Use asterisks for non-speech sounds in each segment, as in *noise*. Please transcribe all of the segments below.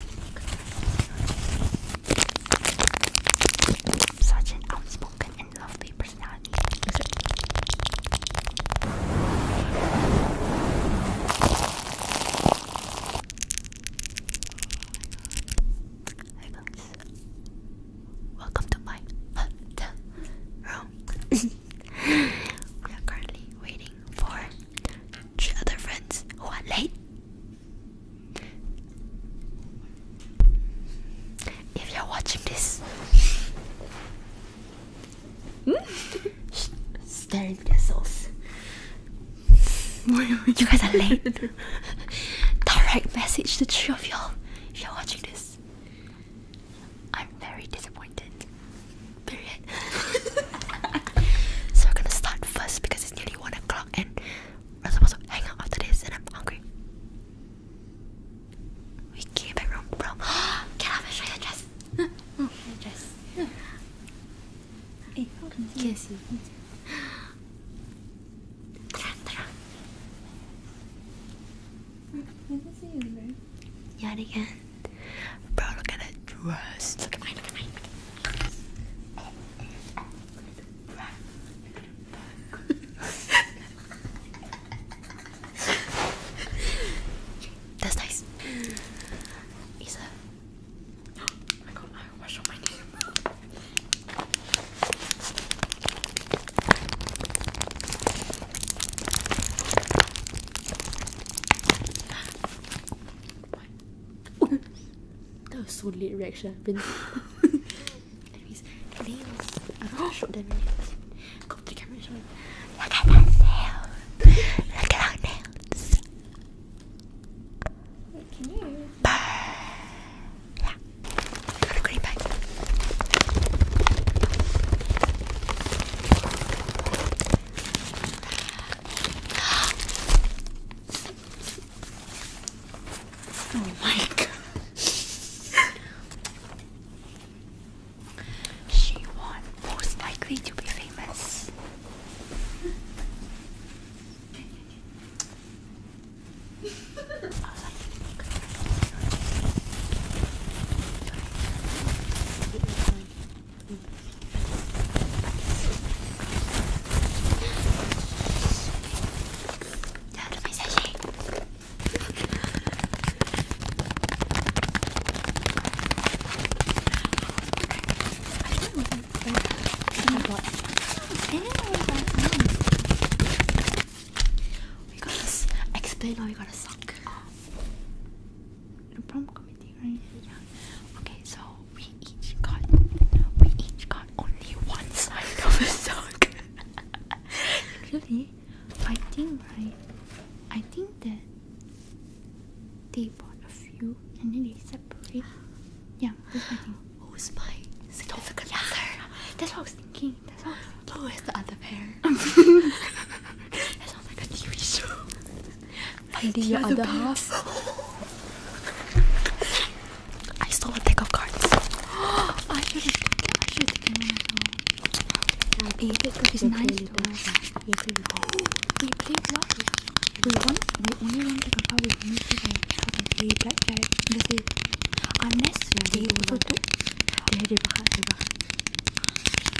Such an outspoken and lovely personality. Hi guys, welcome to my hotel room. *laughs* we are currently waiting for to other friends who are late. If you're watching this, *laughs* staring their souls. you guys are late. *laughs* Direct message to three of y'all. If you're watching this, I'm very disappointed. *laughs* so we're gonna start first because it's nearly one o'clock and we're supposed hang out after this and I'm hungry. We came back from prom. Get up and show dress. Show dress. Hey, hold on. Can see. Yeah, again. Bro, look at that dress. That's nice. Isa. Oh my god, my wash on my name that was so late reaction. *laughs* Look at that nail. Look at our nails. Wait, you? Burn. Yeah. Gotta Oh my god. she won most likely to be famous. *laughs* Dá outra mensagem. We got us. Explain how we got a sock. Oh. No problem. Okay, so we each got we each got only one side of a sock. Actually, *laughs* I think right I think that they bought a few and then they separate. Yeah, that's That's what I was thinking. That's what I was thinking. Who is the other pair? that like a TV show. And the, other, half. I stole a deck of cards. *gasps* I should have taken I should have taken one as well. Yeah, because it's to us. We played lottery. We won we only won the cup with me today. They blackjack. This is unless they also took. They had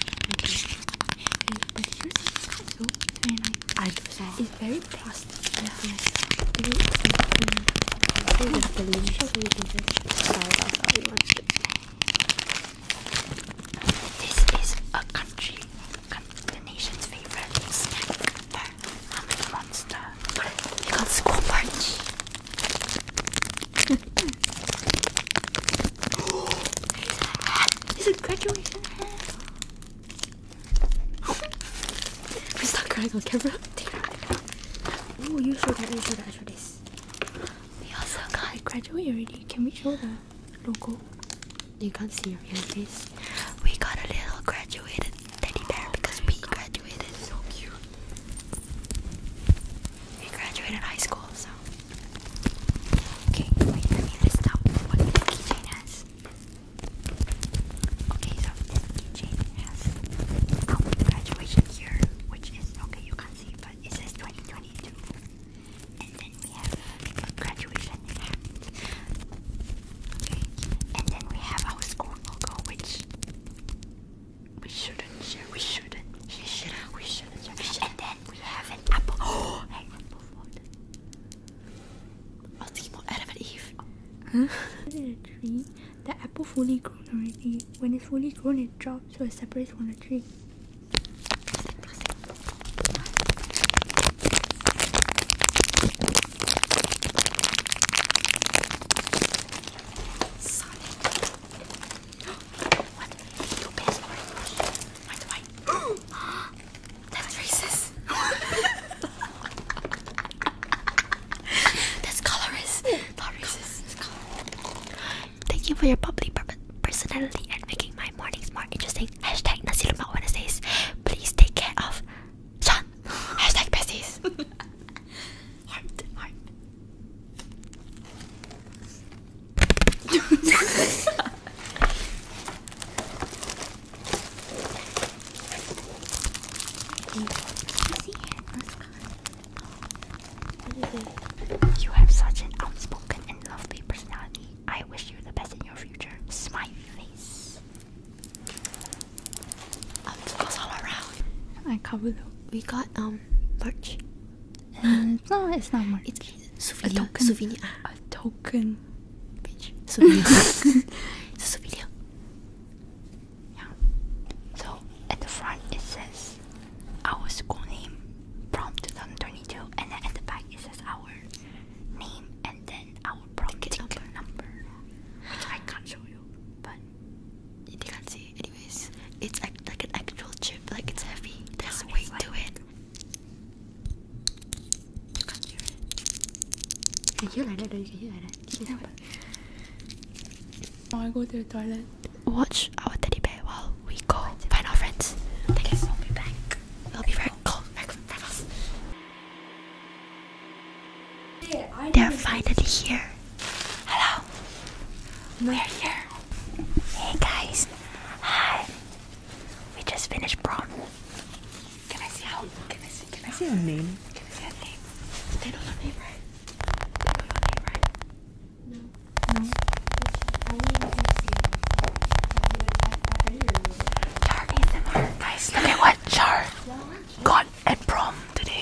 but here's so It's very plastic. This is a country, the nation's favorite snack bar, Monster. It's called Squatch. He's a hat. He's a graduation hat. Please stop crying on camera. Oh, you show that, you show that, I show this. We also got I graduate already. Can we show the logo? You can't see your real face. We got a little graduated teddy bear oh because we God. graduated. So cute. I graduated high school, so. Okay, wait for me to stop what the keychain has. Okay, so this keychain has um, graduation year, which is, okay, you can't see, but it's says 2022. And then we have graduation hat. Okay, and then we have our school logo, which we shouldn't share, we shouldn't, she should, we shouldn't share. And then we have an apple. Oh, *gasps* an apple food. I'll see more Adam and Eve. Huh? In a tree, the apple fully grown already. When it's fully grown, it drops so it separates from the tree. Sonic. *gasps* *gasps* That's racist. *laughs* That's colorist. Thank you for your bubbly personality and making my mornings more interesting. Hashtag Nasi Please take care of Sean. Hashtag besties. *laughs* You have such an outspoken and lovely personality. I wish you the best in your future. Smiley face. I can't we got um merch. Mm, no, it's not merch. It's souvenir. A token. Souvenir. A token. Bitch. Souvenir. *laughs* it's a souvenir. Yeah. So at the front it says our school name, prom 2022, and then at the back it says our name and then our prom number. number, which I can't show you, but you can't see. Anyways, it's like an actual chip. Like it's heavy. There's a weight to it. You can hear that? Or you can hear that. I go to the toilet. Watch our teddy bear while we go find our friends. Thank you. We'll be back. We'll be very cold. Very, very fast. They're finally here. Hello. We're here. Hey guys. Hi. We just finished prom. Can I see how? Can I see? Can I see a name? Can I see a name? They don't know name, right? They don't know name, right? No. No. Char ASMR. Guys, look at what Char got and prom today.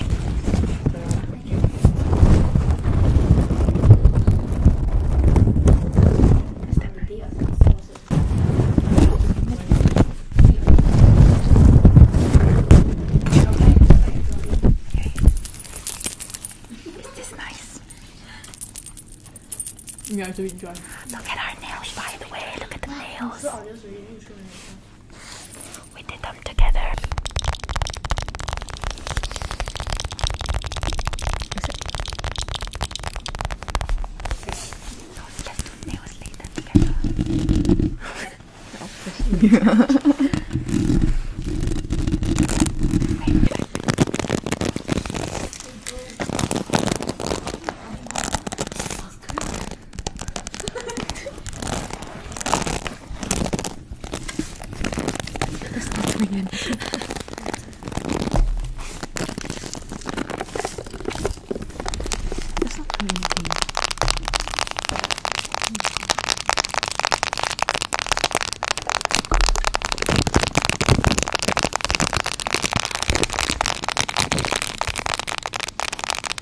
Is nice? Yeah, it's really dry. Look at our nails, by the way. Look at the nails. We did them together. yes, they was later together. That's not coming in. That's not coming in. continue. *laughs*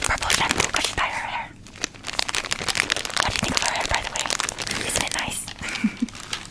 purple shampoo What do you think of her hair, by the way? *laughs* Isn't it nice? *laughs*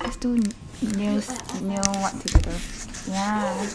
Let's do nails. I'm doing nails now. Let's do let's let's do nails nail what together. Yeah.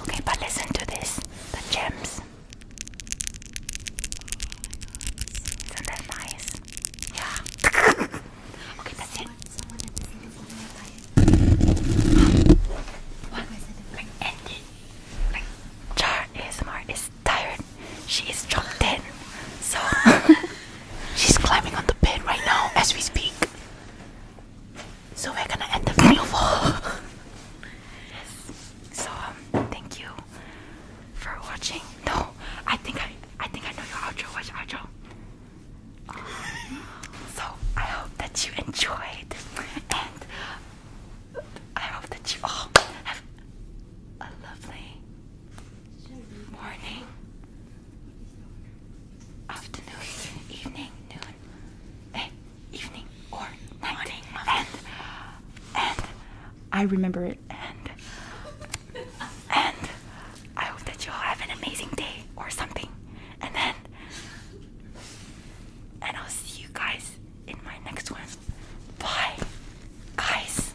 Okay, but listen to this the gems. Isn't that nice? Yeah. *laughs* okay, that's it. What? is tired. She is dropped in. So *laughs* She's climbing on the bed right now as we speak. So we're gonna end the video So um, thank you for watching. No, I think I, I think I know your outro. Watch outro. Uh, so I hope that you enjoyed, and I hope that you all have a lovely morning, afternoon, evening, noon, eh, evening or morning, and and I remember it. And and I hope that you all have an amazing day or something. And then and I'll see you guys in my next one. Bye, guys.